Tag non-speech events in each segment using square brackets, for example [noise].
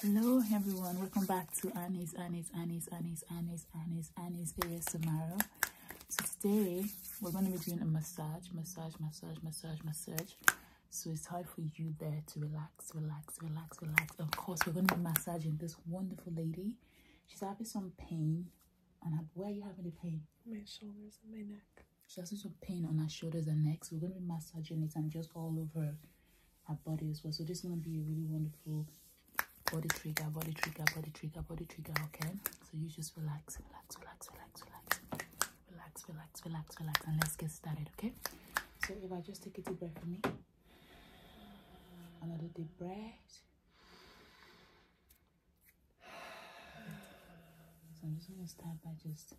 Hello everyone, welcome back to Annie's, Annie's, Annie's, Annie's, Annie's, Annie's, Annie's ASMR. So today, we're going to be doing a massage, massage, massage, massage, massage. So it's time for you there to relax, relax, relax, relax. Of course, we're going to be massaging this wonderful lady. She's having some pain. And where are you having the pain? My shoulders and my neck. She has little pain on her shoulders and necks. We're going to be massaging it and just all over her body as well. So this is going to be a really wonderful body trigger, body trigger, body trigger, body trigger, okay? So you just relax, relax, relax, relax, relax. Relax, relax, relax, relax, and let's get started, okay? So if I just take a deep breath for me. Another deep breath. So I'm just going to start by just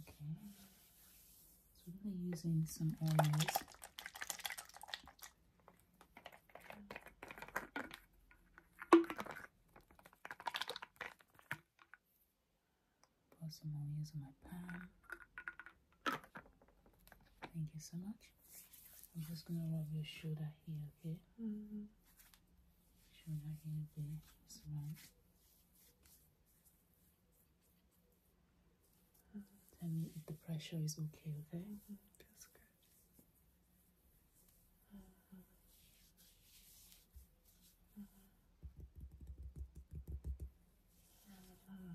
Okay, so I'm using some oils. Put some oils in my pan. Thank you so much. I'm just gonna rub your shoulder here, okay? Mm Shoulder here, there, this one. Tell me if the pressure is okay, okay? Mm good. Uh-huh. Uh-huh. Uh-huh.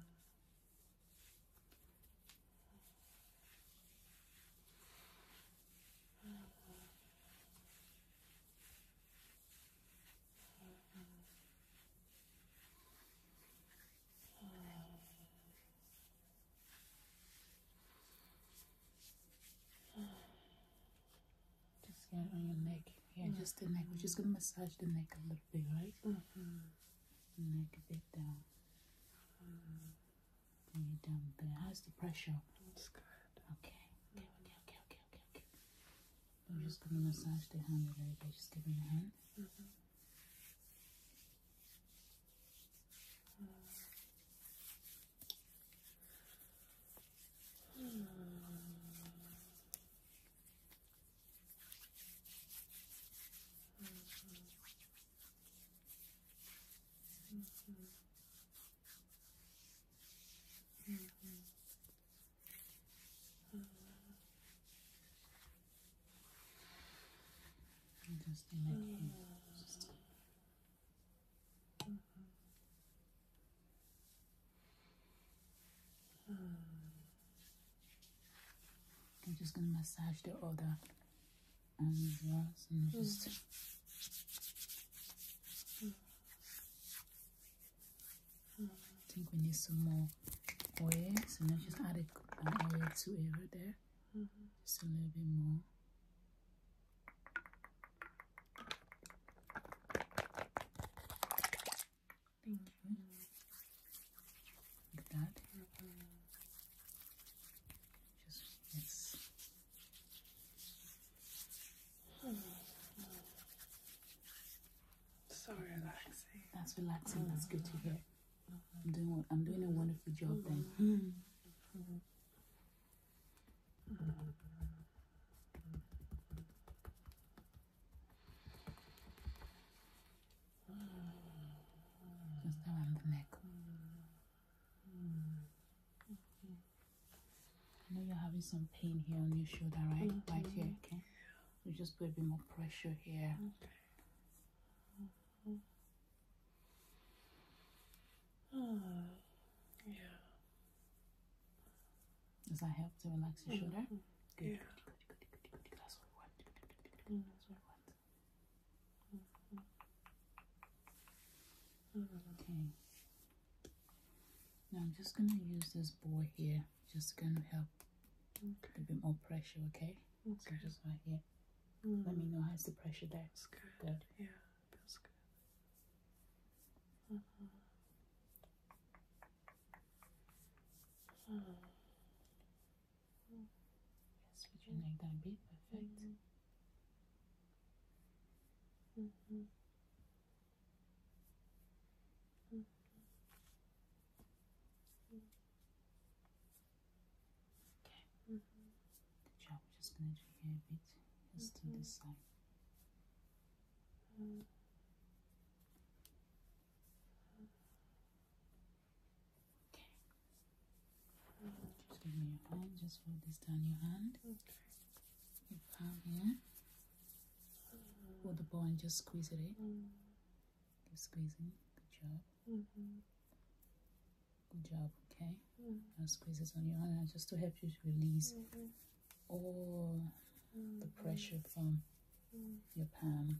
Just get on your neck, yeah, just the neck. We're just gonna massage the neck a little bit, right? Mm-hmm neck a bit down. Bring it down a bit. How's the pressure? It's good. Okay. Okay, okay, okay, okay, okay, okay. I'm just gonna massage the hand a little bit. Just give me a hand. Mm -hmm. Mm -hmm. Mm -hmm. make you just I'm just gonna massage the other arm i just mm. I think we need some more oil. So let's just add an oil to it right there. Just a little bit more. Thank you. Like that. Just yes. So relaxing. That's relaxing. That's good to hear. I'm doing I'm doing a wonderful job then. Poznałam dnego. I know you're having some pain here on your shoulder, right? Right mm-hmm. here, okay? We just put a bit more pressure here. Okay. Mm-hmm. [sighs] yeah. Does that help to relax your shoulder? Mm-hmm. Yeah. Okay. Now I'm just gonna use this board here. Just gonna help a bit more pressure. Okay. Okay. right here. Let me mm. know how's the pressure there. It's good. Yeah, feels good. Uh-huh. Yes, would you mm. that be perfect? Okay. Good job. We're just gonna do here a bit, just to this mm-hmm. side. Okay. Just give me your hand. Just fold this down your hand. Okay. Your palm here. Hold the ball and just squeeze it in. squeezing. Good job. Good job. Okay. Mm. Now squeeze it on your hand just to help you to release all the pressure from your palm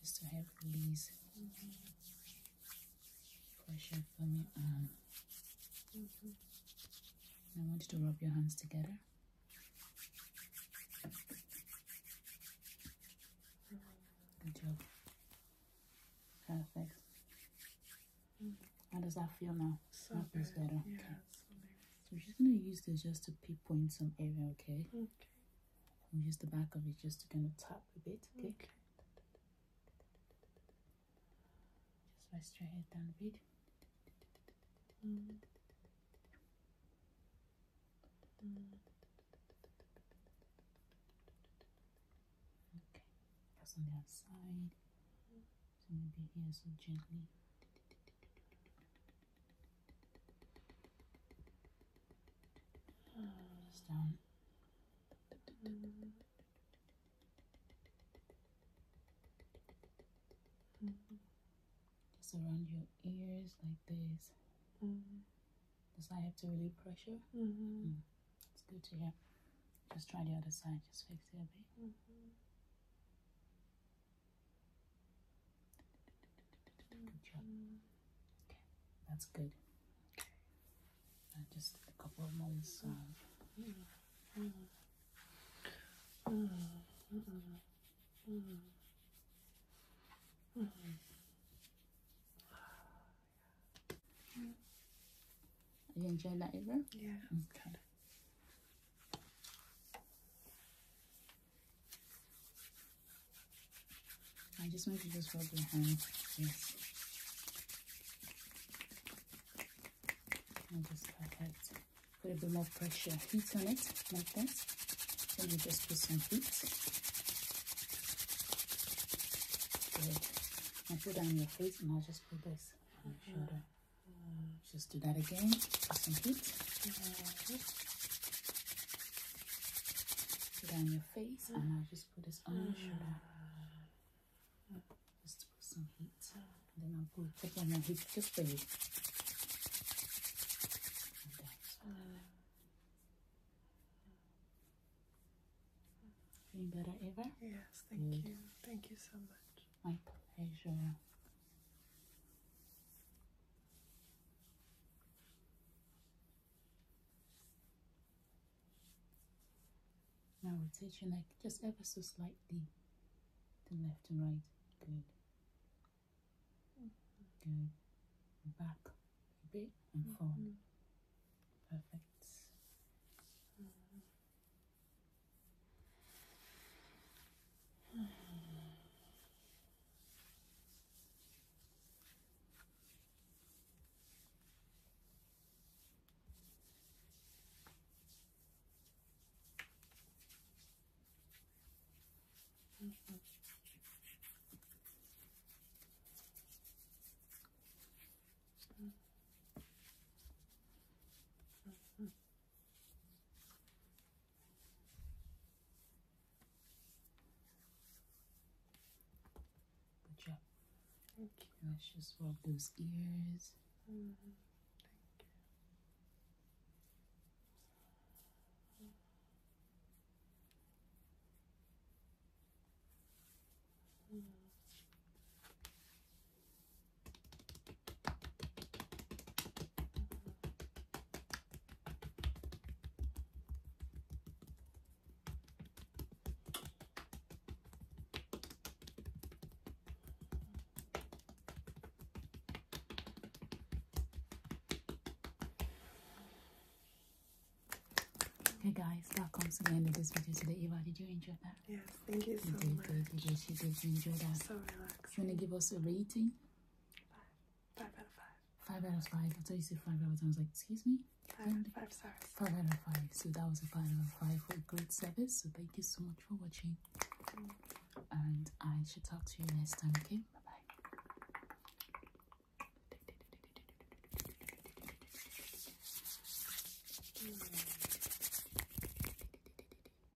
Just to help release pressure from um, your arm. I want you to rub your hands together. Good job. Perfect. How does that feel now? So that feels better. Yeah, okay. So, so she's gonna use this just to pinpoint some area, Okay. I'll use the back of it just to kind of tap a bit, okay? okay. Just rest your head down a bit. Okay, that's on the outside. So maybe here so gently. Just around your ears like this. Does that help to relieve pressure? Mm-hmm. Mm. It's good to hear. Just try the other side. Just fix it a bit. Mm-hmm. Good that's good. Okay, uh, just a couple of moments. Uh, you enjoying that, Eva? Yeah. Mm, okay. I just want you to just rub your hand. Yes. And just like that. Put a bit more pressure, heat on it, like that. Then you just put some heat. Good. Now put on your face and I'll just put this on your shoulder. Mm just do that again Put some heat. Put on your face, and I'll just put this on your shoulder. Just put some heat, and then I'll put put on your heat just for you. Feeling better, Eva? Yes, thank you. Thank you so much. My pleasure. Now rotate your neck just ever so slightly to left and right. Good. Good. Back bit and mm-hmm. forward. Perfect. Mm -hmm. -hmm. -hmm. Good job. Thank Let's just rub those ears. Mm-hmm. Hey guys, that comes to the end of this video today. Eva, did you enjoy that? Yes, thank you so much. did you enjoy that? So relaxed. You want to give us a rating? Five. Five out of five. Five out of five. That's how you said five out of five, I was like, excuse me? Five out of five Five out of five. So that was a five out of five for great service. So thank you so much for watching. And I shall talk to you next time, okay? Bye bye. Mm.